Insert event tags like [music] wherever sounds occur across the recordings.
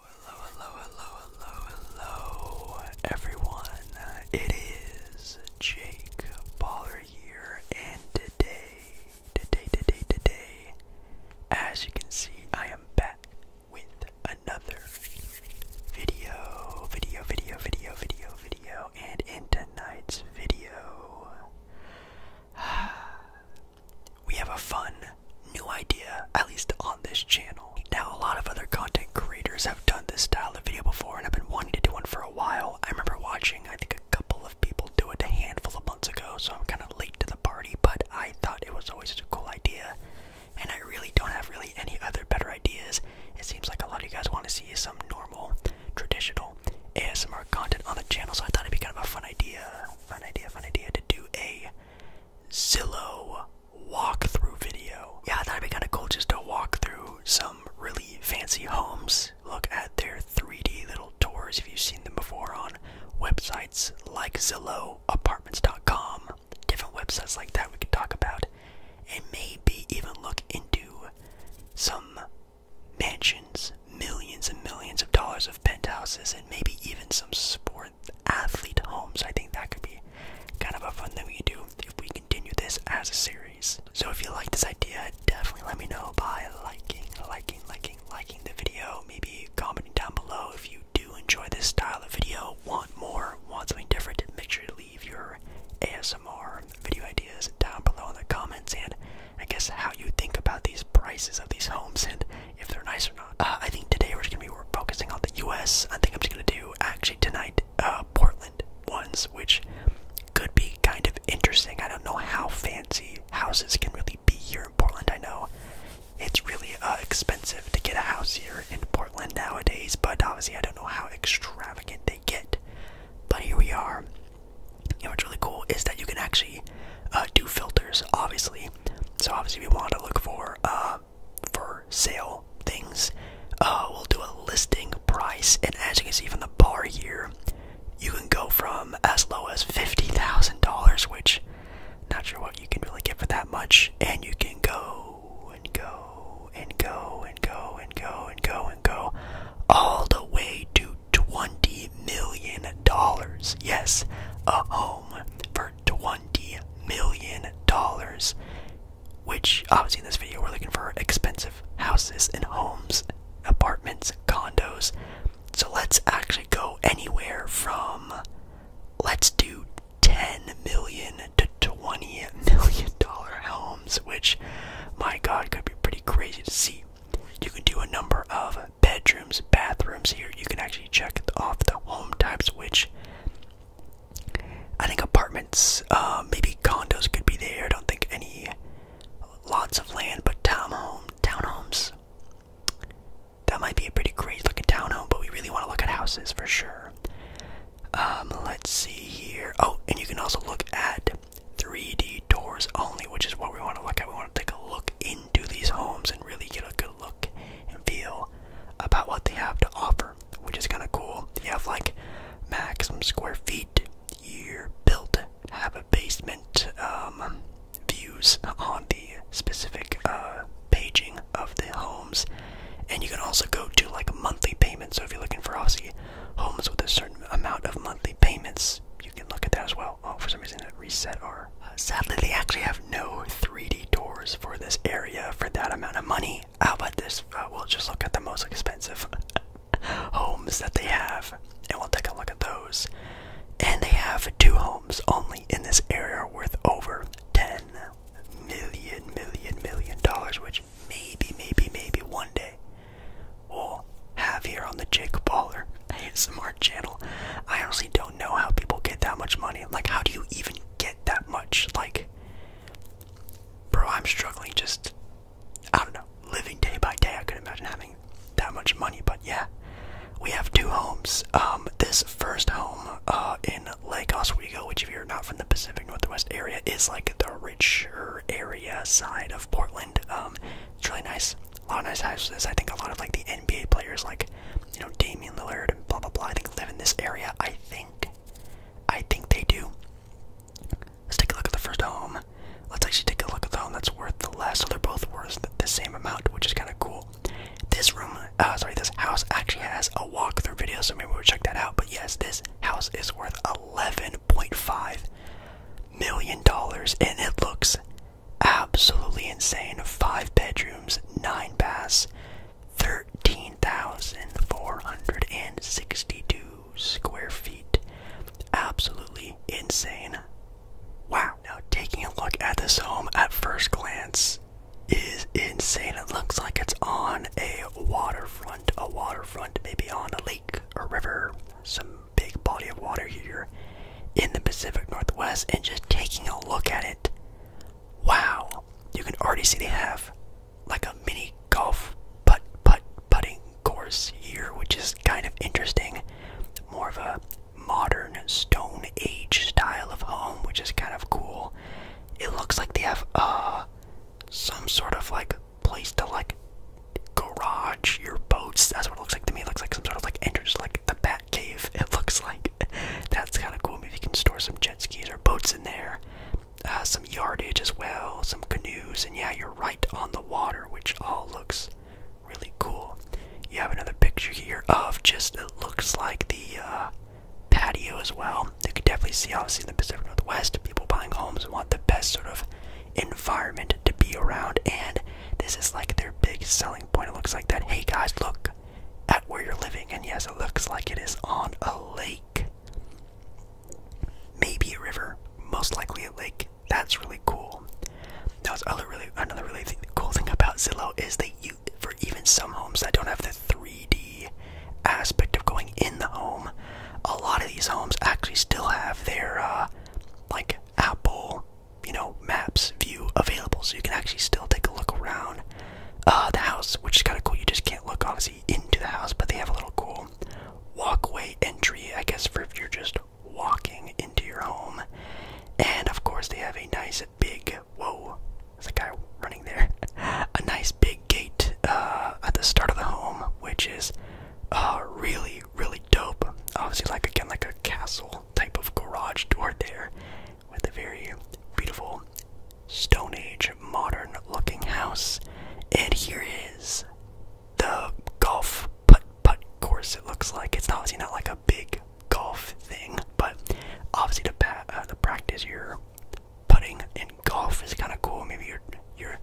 Hello, hello, hello, hello, hello, everyone. It is Jake Baller here, and today, today, today, today, as you can see, I am back with another video, video, video, video, video, video, and in tonight's video, [sighs] we have a fun new idea, at least on this channel. Now, a lot of other content creators have done this style of video before, and I've been wanting to do one for a while. I remember watching, I think, a couple of people do it a handful of months ago, so I'm kind of late to the party, but I thought it was always a cool idea, and I really don't have really any other better ideas. It seems like a lot of you guys want to see some normal, traditional ASMR content on the channel, so I thought it'd be kind of a fun idea, fun idea, fun idea to do a Zillow walkthrough video. Yeah, I thought it'd be kind of cool just to walk through some really fancy homes, look at their 3D little tours if you've seen them before on websites like Zillow, apartments.com, different websites like that we could talk about, and maybe even look into some mansions, millions and millions of dollars of penthouses, and maybe even some sports athlete homes. I think that could be kind of a fun thing we can do if we continue this as a series. So if you like this idea, definitely let me know by liking, liking, liking, liking the video. Maybe commenting down below if you do enjoy this style of video, want more, want something different, make sure to leave your ASMR video ideas down below in the comments and I guess how you think about these prices of these homes and if they're nice or not. Uh, I think today we're just gonna be focusing on the U.S. I think I'm just gonna do actually tonight uh, Portland ones, which could be kind of interesting. I don't know how fancy houses can really be here in Portland. I know it's really uh, expensive to get a house here in Portland nowadays, but obviously I don't know how extravagant they get. But here we are. And what's really cool is that you can actually do filters, obviously. So obviously we want to look for for sale things. Uh, we'll do a listing price, and as you can see from the bar here, you can go from as low as fifty thousand dollars, which not sure what you can really get for that much, and you can go and go and go and go and go and go and go all the way to twenty million dollars. Yes, a home for to $20 million. Which, obviously, in this video, we're looking for expensive houses and homes, apartments, condos. So let's actually go anywhere from let's do 10 million to 20 million dollar homes, which my god could be pretty crazy to see. You can do a number of bedrooms, bathrooms here. You can actually check off the home types, which I think apartments, uh, maybe condos could be there. I don't think any lots of land, but town townhomes. That might be a pretty great looking townhome, but we really want to look at houses for sure. Um, let's see here. Oh, and you can also look at 3D doors only, which is what we want to look at. We want to take a look in do these homes and really get a good look and feel about what they have to offer, which is kind of cool. They have like maximum square feet, you're built, have a basement, um, views on the specific uh, paging of the homes, and you can also go to like monthly payments. So if you're looking for obviously homes with a certain amount of monthly payments, you can look at that as well. Oh, for some reason it reset our sadly, they actually have no 3D tours for this area for that amount of money. How about this? Uh, we'll just look at the most expensive [laughs] homes that they have, and we'll take a look at those. And they have two homes only in this area worth over 10 million, million, million dollars, which maybe, maybe, maybe one day we'll have here on the Jake Baller ASMR [laughs] channel. I honestly don't know how people get that much money. Like, how do you even get that much. Like, bro, I'm struggling just, I don't know, living day by day. I couldn't imagine having that much money, but yeah. We have two homes. Um, this first home uh, in Lake Oswego, which if you're not from the Pacific Northwest area, is like the richer area side of Portland. Um, it's really nice. A lot of nice houses. I think a lot of like the NBA players like you know, Damian Lillard and blah blah blah. I think live in this area. I think, I think they do. Let's take a look at the first home. Let's actually take a look at the home that's worth the less. So they're both worth the same amount, which is kind of cool. This room, uh, sorry, this house actually has a walkthrough video, so maybe we'll check that out. But yes, this house is worth eleven point five million dollars, and it looks absolutely insane. Five bedrooms, nine baths, 13,462 square feet. Absolutely insane. Wow. Now, taking a look at this home at first glance is insane. It looks like it's on a waterfront, a waterfront, maybe on a lake or river, some big body of water here in the Pacific Northwest. And just taking a look at it, Wow, you can already see they have like a mini golf putt putt putting course here, which is kind of interesting. More of a modern Stone Age style of home, which is kind of cool. It looks like they have uh some sort of like place to like garage your boats. That's what it looks like to me. It looks like some sort of like entrance, like the Bat Cave. It looks like that's kind of cool. Maybe you can store some jet skis or boats in there, uh, some yardage as well, some canoes, and yeah, you're right on the water, which all looks really cool. You have another picture here of just looks like the uh, patio as well. You could definitely see, obviously, in the Pacific Northwest, people buying homes want the best sort of environment to be around, and this is like their big selling point. It looks like that. Hey guys, look, at where you're living. And yes, it looks like it is on a lake. Maybe a river, most likely a lake. That's really cool. That's other really another really cool thing about Zillow is that you for even some homes that don't have the 3D aspect of going in the home, a lot of these homes actually still have their uh, like Apple, you know, maps view available, so you can actually still take a look around uh, the house, which is kind of cool. You just can't look obviously into the house, but they have a little cool walkway entry, I guess, for if you're just walking into your home. And of course, they have a nice big whoa, there's a guy running there. [laughs] A nice big gate uh, at the start of the home, which is uh, really, really dope. Obviously, like again, like a castle type of garage door there with a very beautiful Stone Age modern looking house. And here is the golf putt putt course, it looks like. It's obviously not like a big golf thing, but obviously the uh, to practice your putting in golf is kind of cool. Maybe your, your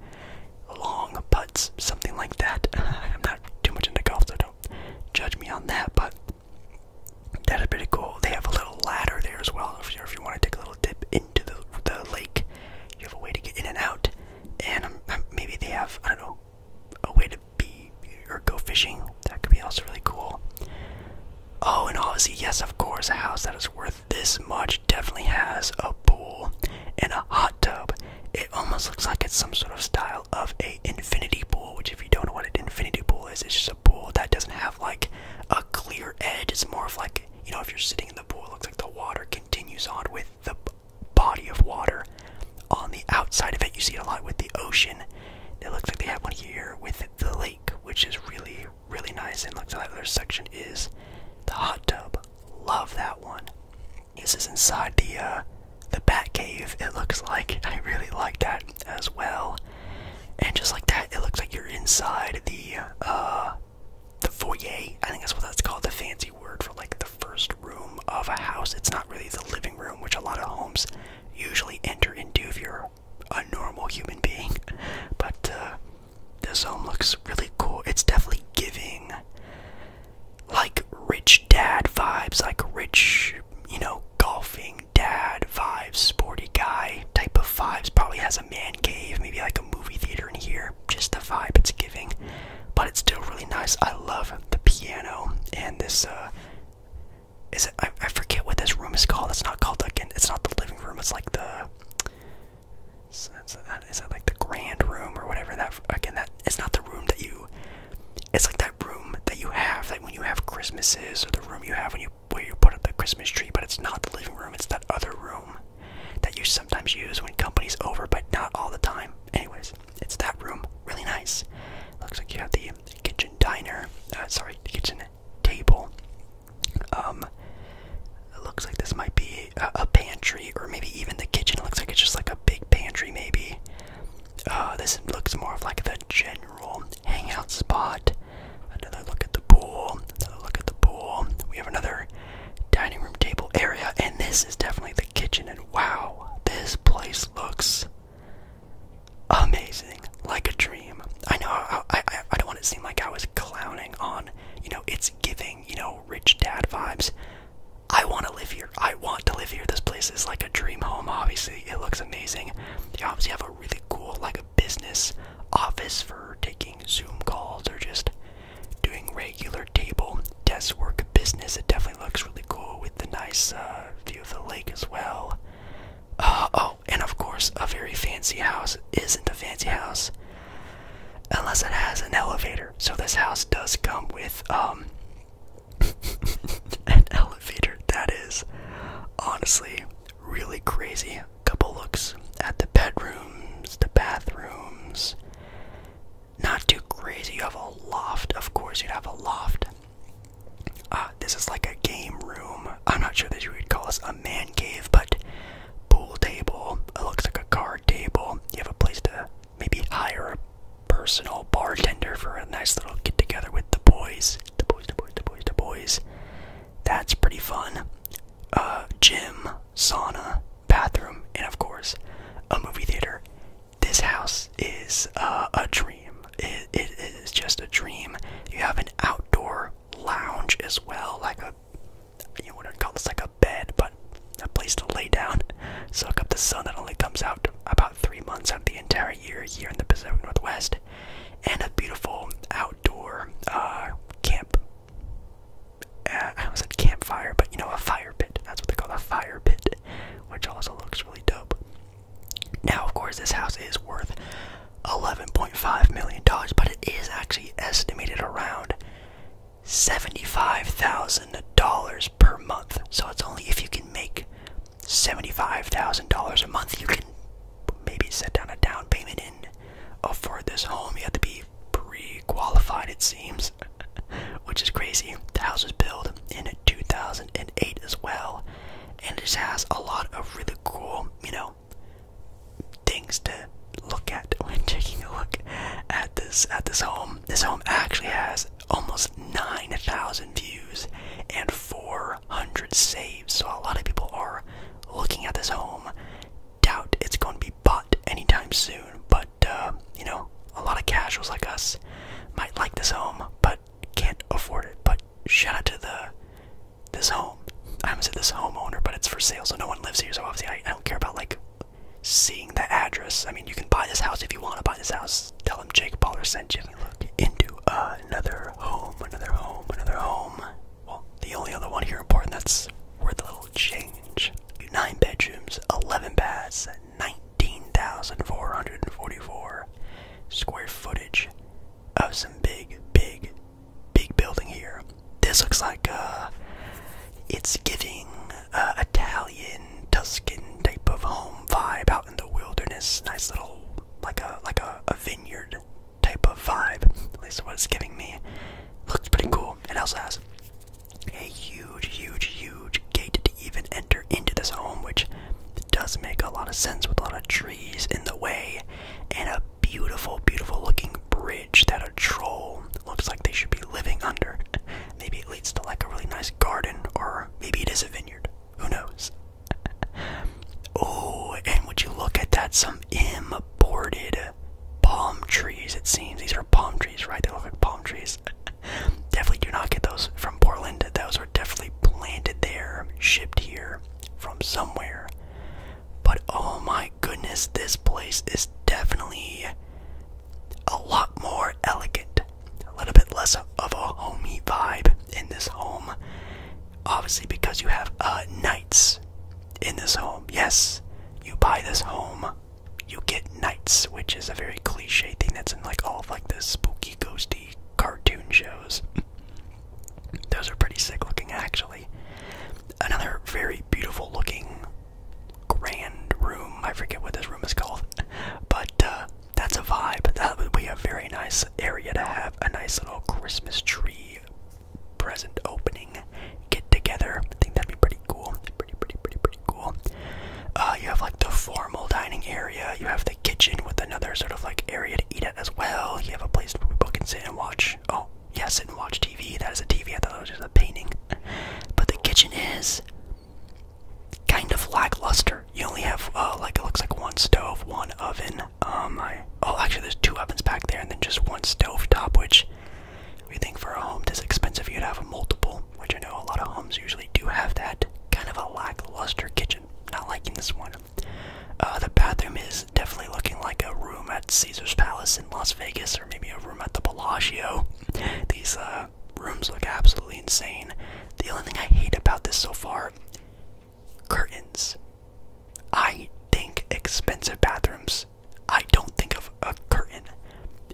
long putts, something like that. [laughs] I'm not too much into golf, so don't judge me on that, but that is pretty cool. They have a little ladder there as well. If you, want to take a little dip into the, the lake, you have a way to get in and out. And um, um, maybe they have, I don't know, a way to be or go fishing. That could be also really cool. Oh, and obviously, yes, of course, a house that is worth this much definitely has a pool and a hot tub. It almost looks like it's some sort of style of a infinity pool, which if you don't know what an infinity pool is, it's just a pool that doesn't have have like a clear edge. It's more of like, you know, if you're sitting in the pool, it looks like the water continues on with the body of water on the outside of it. You see it a lot with the ocean. It looks like they have one here with the lake, which is really, really nice. And looks like that other section is the hot tub. Love that one. This is inside the uh, the bat cave. It looks like [laughs] I really like that as well and just like that, it looks like you're inside the uh, the foyer. I think that's what that's called, the fancy word for like the first room of a house. It's not really the living room, which a lot of homes usually enter into if you're a normal human being. [laughs] But uh, this home looks really cool. It's definitely giving like rich dad vibes, like rich, you know, golfing, dad vibes, sporty guy type of vibes. Probably has a man cave, maybe like a movie theater in here. Just the vibe it's giving, but it's still really nice. I love the piano and this. Uh, is it? I, I forget what this room is called. It's not called again. It's not the living room. It's like the. Is that like the grand room or whatever? That again, that it's not the room that you. It's like that room that you have, like when you have Christmases, or the room you have when you where you put up the Christmas tree, but it's not the living room, it's that other room that you sometimes use when company's over, but not all the time. Anyways, it's that room. Really nice. Looks like you have the kitchen diner, uh, sorry, kitchen table. Um, looks like this might be a, a pantry, or maybe even the kitchen. It looks like it's just like a big pantry, maybe. Uh, this looks more of like the general hangout spot. Another look at the pool. Another look at the pool. We have another dining room table area, and this is definitely the kitchen. And wow, this place looks amazing, like a dream. I know I I, I don't want it to seem like I was clowning on, you know, it's giving, you know, rich dad vibes. I want to live here. I want to live here. This place is like a dream home. Obviously, it looks amazing. You obviously have a really cool, like business office for taking Zoom calls or just doing regular table desk work business. It definitely looks really cool with the nice uh, view of the lake as well. Uh, oh, and of course, a very fancy house isn't a fancy house unless it has an elevator. So this house does come with um [laughs] an elevator. That is honestly really crazy. Couple looks at the bedrooms, the bathrooms. Not too crazy. You have a loft, of course, you'd have a loft. Uh, this is like a game room. I'm not sure that you would call this a man cave, but pool table. It looks like a card table. You have a place to maybe hire a personal bartender for a nice little get together with the boys. The boys, the boys, the boys, the boys. That's pretty fun. A uh, gym, sauna, bathroom, and of course, a movie theater. This house is uh, a dream. it is just a dream. You have an outdoor lounge as well, like a you know what call this like a bed, but a place to lay down, soak up the sun that only comes out about three months out of the entire year here in the Pacific Northwest and a beautiful outdoor uh, camp. Uh, I almost said campfire, but you know, a fire pit. That's what they call a fire pit, which also looks really dope. Now, of course, this house is worth $11.5 million, but it is actually estimated around $75,000 per month. So it's only if you can make $75,000 a month, you can maybe set down a down payment and afford this home. You have to be pre qualified, it seems, [laughs] which is crazy. The house was built in 2008 as well, and it just has a lot of really cool, you know, things to look at [laughs] when taking a look at this at this home. This home actually has almost 9,000 views and four Hundred saves. So a lot of people are looking at this home. Doubt it's going to be bought anytime soon. But uh, you know, a lot of casuals like us might like this home, but can't afford it. But shout out to the this home. I haven't said this homeowner, but it's for sale, so no one lives here. So obviously, I, don't care about like seeing the address. I mean, you can buy this house if you want to buy this house. Tell them Jake Paul sent you look into uh, another home, another home, another home. Well, the only other one here important that's worth a little change. Nine bedrooms, 11 baths, 19,444 square footage of some big, big, big building here. This looks like a. Uh, it's giving uh, Italian, Tuscan type of home vibe out in the wilderness. Nice little, like a like a vineyard type of vibe. At least what it's giving me. Looks pretty cool. It also has a huge, huge, huge gate to even enter into this home, which does make a lot of sense with a lot of trees in the way, and a beautiful, beautiful looking bridge that a troll looks like they should be living under. [laughs] Maybe it leads to like a really nice garden, or maybe it is a vineyard. Who knows? oh, and would you look at that? Some imported palm trees, it seems. These are palm trees, right? They look like palm trees. definitely do not get those from Portland. Those are definitely planted there, shipped here from somewhere. But oh my goodness, this place is definitely a lot more elegant. A little bit less of a homey vibe in this home obviously because you have uh, knights in this home. Yes, you buy this home, you get knights, which is a very cliche thing that's in like all of like the spooky, ghosty cartoon shows. [laughs] Those are pretty sick looking, actually. Another very beautiful looking grand room. I forget what this room is called, [laughs] but uh, that's a vibe. That would be a very nice area to have a nice little Christmas tree present opening get together. I think that'd be pretty cool. Pretty, pretty, pretty, pretty cool. Uh, you have like the formal dining area. You have the kitchen with another sort of like area to eat at as well. You have a place where people can sit and watch. Oh, yeah, sit and watch TV. That is a TV. I thought it was just a painting. But the kitchen is kind of lackluster. You only have uh, like it looks like one stove, one oven, um, oh I oh actually there's two ovens back there, and then just one stove top, which we think for a home this expensive you'd have a multiple, which I know a lot of homes usually do have that kind of a lackluster kitchen. Not liking this one. Uh, the bathroom is definitely looking like a room at Caesar's Palace in Las Vegas, or maybe a room at the Bellagio. These uh, rooms look absolutely insane. The only thing I hate about this so far Curtains. I think expensive bathrooms. I don't think of a curtain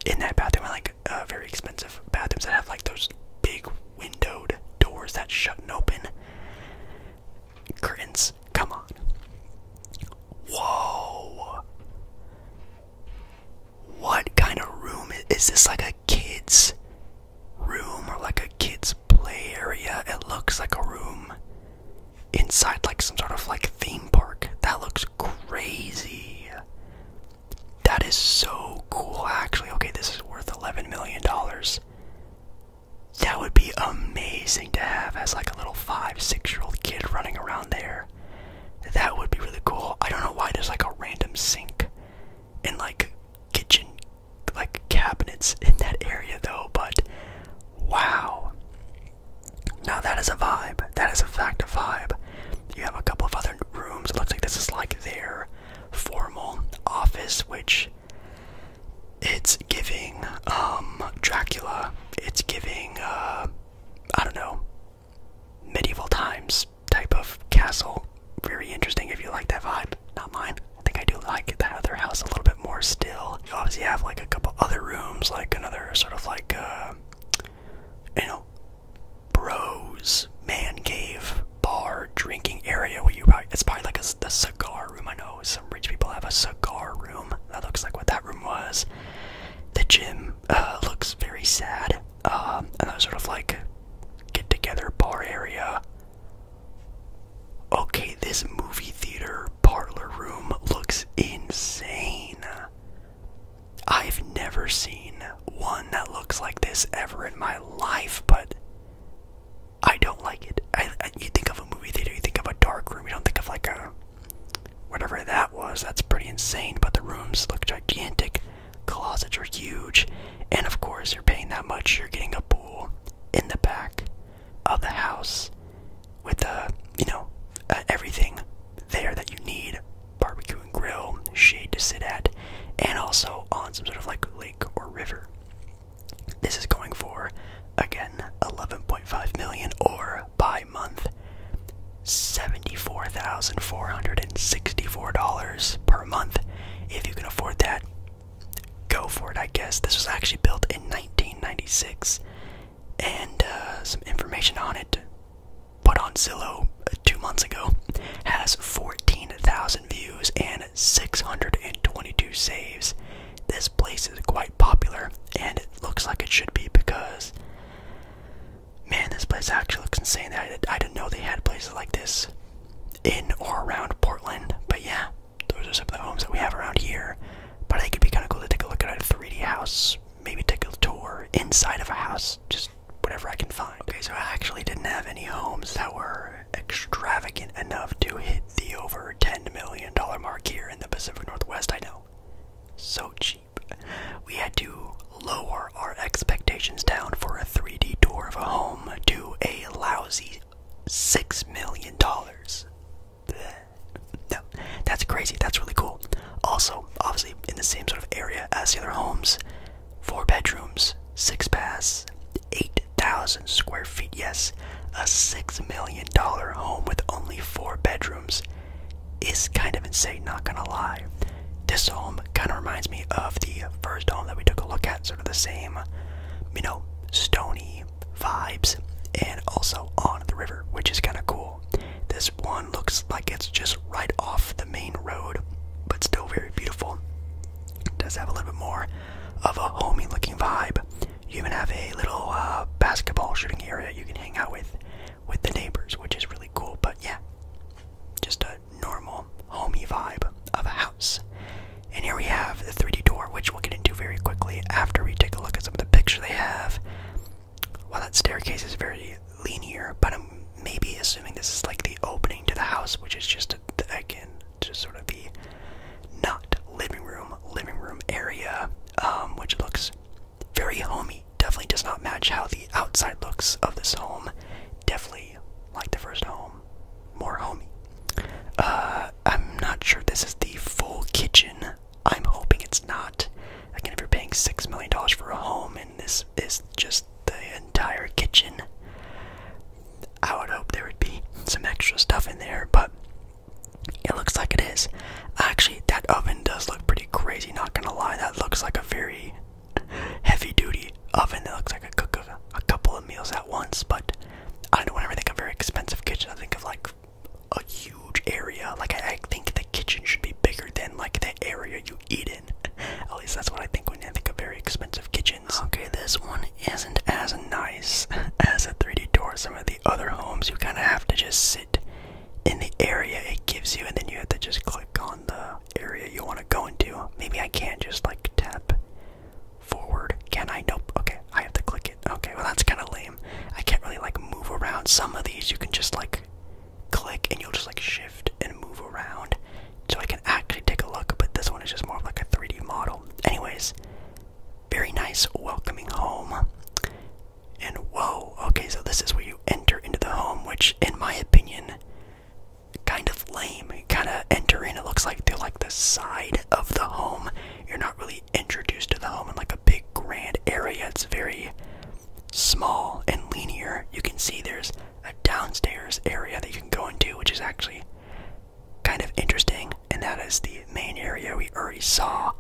in that bathroom. I like uh, very expensive bathrooms that have like those big windowed doors that shut and open. Curtains. Come on. Whoa. What kind of room is this? Like a kid's room or like a kid's play area. It looks like a room inside like some sort of like theme park. That looks crazy. That is so cool actually. Okay, this is worth 11 million dollars. That would be amazing to have as like a little 5, 6-year-old kid running around there. That would be really cool. I don't know why there's like a random sink in like kitchen like cabinets in that area though, but wow. Now that is a vibe. That is a fact of vibe. You have a couple of other rooms. It looks like this is like their formal office, which it's giving um Dracula. It's giving uh I don't know medieval times type of castle. Very interesting if you like that vibe. Not mine. I think I do like that other house a little bit more still. You obviously have like a couple other rooms, like another sort of like, uh, you know, bros, man cave, bar, drinking area where you probably, it's probably like a, cigar room. I know some rich people have a cigar room. That looks like what that room was. The gym uh, looks very sad. Um, and that sort of like get together bar area. Okay, this movie theater parlor room looks insane. I've never seen one that looks like this ever in my life, but I don't like it. you think of a movie theater, you think of a dark room, you don't think of like a whatever that was. That's pretty insane, but the rooms look gigantic, closets are huge, and of course, you're paying that much, you're getting a pool in the back of the house with uh, you know uh, everything there that you need barbecue and grill, shade to sit at, and also on some sort of like lake or river. This is going for again 11.5 million or by month $74,464 per month. If you can afford that, go for it, I guess. This was actually built in 1996, and uh, some information on it put on Zillow uh, two months ago has 14,000 views and 622 saves. This place is quite popular, and it looks like it should be because, man, this place actually looks insane. I didn't know they had places like this in or around Portland, but yeah those are some of the homes that we have around here. But I think it'd be kind of cool to take a look at a 3D house, maybe take a tour inside of a house, just whatever I can find. Okay, so I actually didn't have any homes that were extravagant enough to hit the over $10 million mark here in the Pacific Northwest. I know, so cheap. We had to lower our expectations down for a 3D tour of a home to a lousy six million dollars. No, that's crazy. That's really cool. Also, obviously, in the same sort of area as the other homes, four bedrooms, six baths, eight thousand square feet. Yes, a six million dollar home with only four bedrooms is kind of insane. Not gonna lie, this home kind of reminds me of the first home that we took a look at. Sort of the same, you know, stony vibes and also on the river, which is kind of cool. This one looks like it's just right off the main road, but still very beautiful. It does have a little bit more of a homey looking vibe. You even have a little uh, basketball shooting area you can hang out with with the neighbors, which is really cool. But yeah, just a normal homey vibe of a house. And here we have the 3D door, which we'll get into very quickly after we take a look at some of the picture they have. While that staircase is very linear, but I'm maybe assuming this is like the opening to the house, which is just again just sort of the not living room, living room area, um, which looks very homey. Definitely does not match how the outside looks of this home. Definitely like the first home more homie. Uh, I'm not sure this is the full kitchen. I'm hoping it's not. Again, if you're paying six million dollars for a home and this is just the entire kitchen, I would hope there would be some extra stuff in there, but it looks like it is. Actually, that oven does look pretty crazy, not gonna lie. That looks like a very [laughs] heavy duty oven that looks like I cook a couple of meals at once, but I don't know, whenever I think of very expensive kitchen, I think of like a huge area. Like I, think the kitchen should be bigger than like the area you eat in. [laughs] At least that's what I think when I think of very expensive kitchens. Okay, this one isn't as nice [laughs] as a 3D tour. Some of the other homes, you kind of have to just sit in the area it gives you, and then you have to just click on the area you want to go into. Maybe I can't just like tap forward? Can I? Nope. Okay, I have to click it. Okay, well, that's kind of lame. I can't really like move around. Some of these you can just like click and you'll just like shift and move around. So I can actually take a look, but this one is just more of like a 3D model. Anyways, very nice, welcoming home. And whoa, okay, so this is where you enter into the home, which in my opinion, kind of lame. kind of entering. it looks like they're like the side of the home you're not really introduced to the home in like a big grand area. It's very small and linear. You can see there's a downstairs area that you can go into, which is actually kind of interesting, and that is the main area we already saw.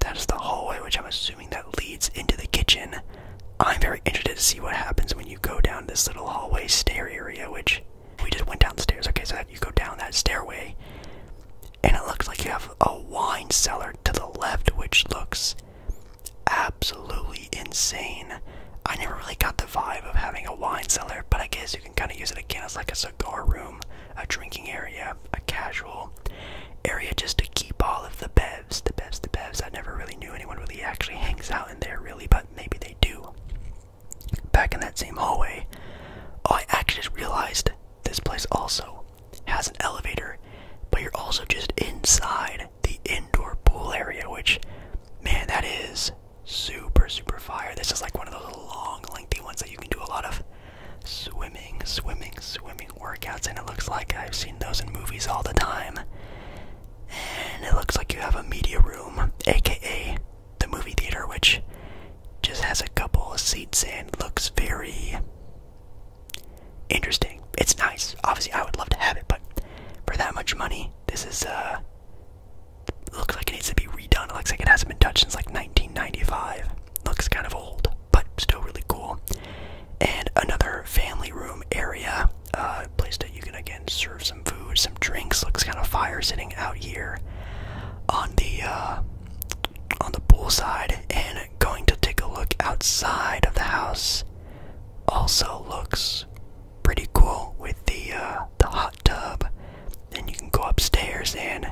That is the hallway, which I'm assuming that leads into the kitchen. I'm very interested to see what happens when you go down this little hallway stair area, which we just went downstairs. Okay, so you go down that stairway, and it looks like you have a wine cellar to the left, which looks absolutely insane. I never really got the vibe of having a wine cellar, but I guess you can kind of use it again as like a cigar room, a drinking area, a casual area just to keep all of the bevs, the bevs, the bevs. I never really knew anyone really actually [laughs] hangs out in there, really, but maybe they do. Back in that same hallway, I actually just realized this place also has an elevator, but you're also just inside the indoor pool area, which, man, that is super, super fire. This is like one of those long, lengthy ones that you can do a lot of swimming, swimming, swimming workouts, and it looks like I've seen those in movies all the time. And it looks like you have a media room, aka the movie theater, which just has a couple of seats and looks very interesting. It's nice. Obviously, I would love to have it, but for that much money, this is uh looks like it needs to be redone. It looks like it hasn't been touched since like 1995. Looks kind of old, but still really cool. And another family room area, uh, place that you can again serve some food, some drinks. Looks kind of fire sitting out here on the uh, on the pool side, and going to take a look outside of the house. Also looks pretty cool with the uh, the hot tub. Then you can go upstairs and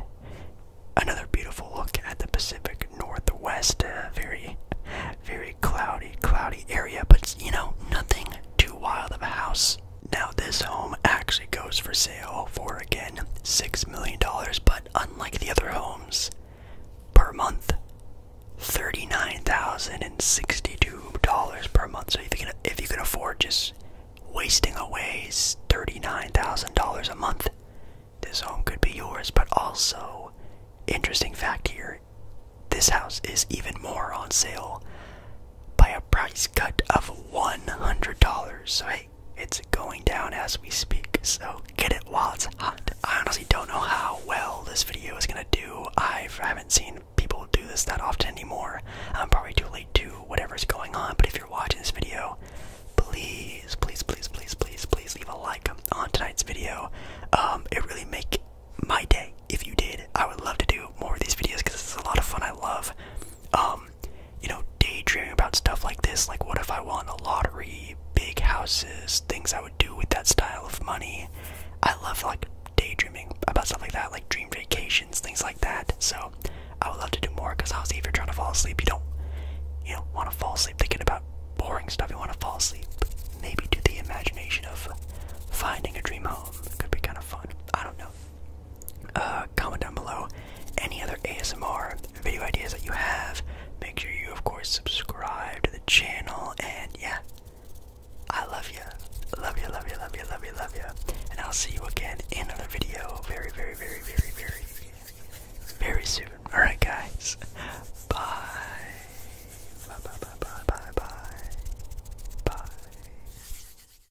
another beautiful look at the Pacific Northwest. Uh, very very cloudy, cloudy area, but you know nothing too wild of a house. Now this home actually goes for sale for again $6 million, but unlike the other homes, per month, $39,062 per month. So if you, can, if you can afford just wasting away $39,000 a month, this home could be yours. But also, interesting fact here, this house is even more on sale by a price cut of $100. So, hey, it's going down as we speak. So, get it while it's hot. I honestly don't know how well this video is going to do. I've, I have have not seen people do this that often anymore. I'm probably too late to whatever's going on. But if you're watching this video, please, please, please, please, please, please leave a like on tonight's video. Um, it really make my day if you did. I would love to do more of these videos because it's a lot of fun. I love um, you know, daydreaming about stuff like this. Like, what if I won a lottery, big houses, things I would do with that style of money? I love like daydreaming about stuff like that, like dream vacations, things like that. So, I would love to do more because i see if you're trying to fall asleep, you don't, you don't want to fall asleep thinking about boring stuff. You want to fall asleep. Maybe do the imagination of finding a dream home. It could be kind of fun. I don't know. Uh, comment down below any other ASMR video ideas that you have. Make sure you, of course, subscribe to the channel. And yeah, I love you. Love you, love you, love you, love you, love you. And I'll see you again in another video very, very, very, very, very, very soon. Alright, guys. [laughs] Bye. Bye, bye, bye, bye, bye, bye. Bye.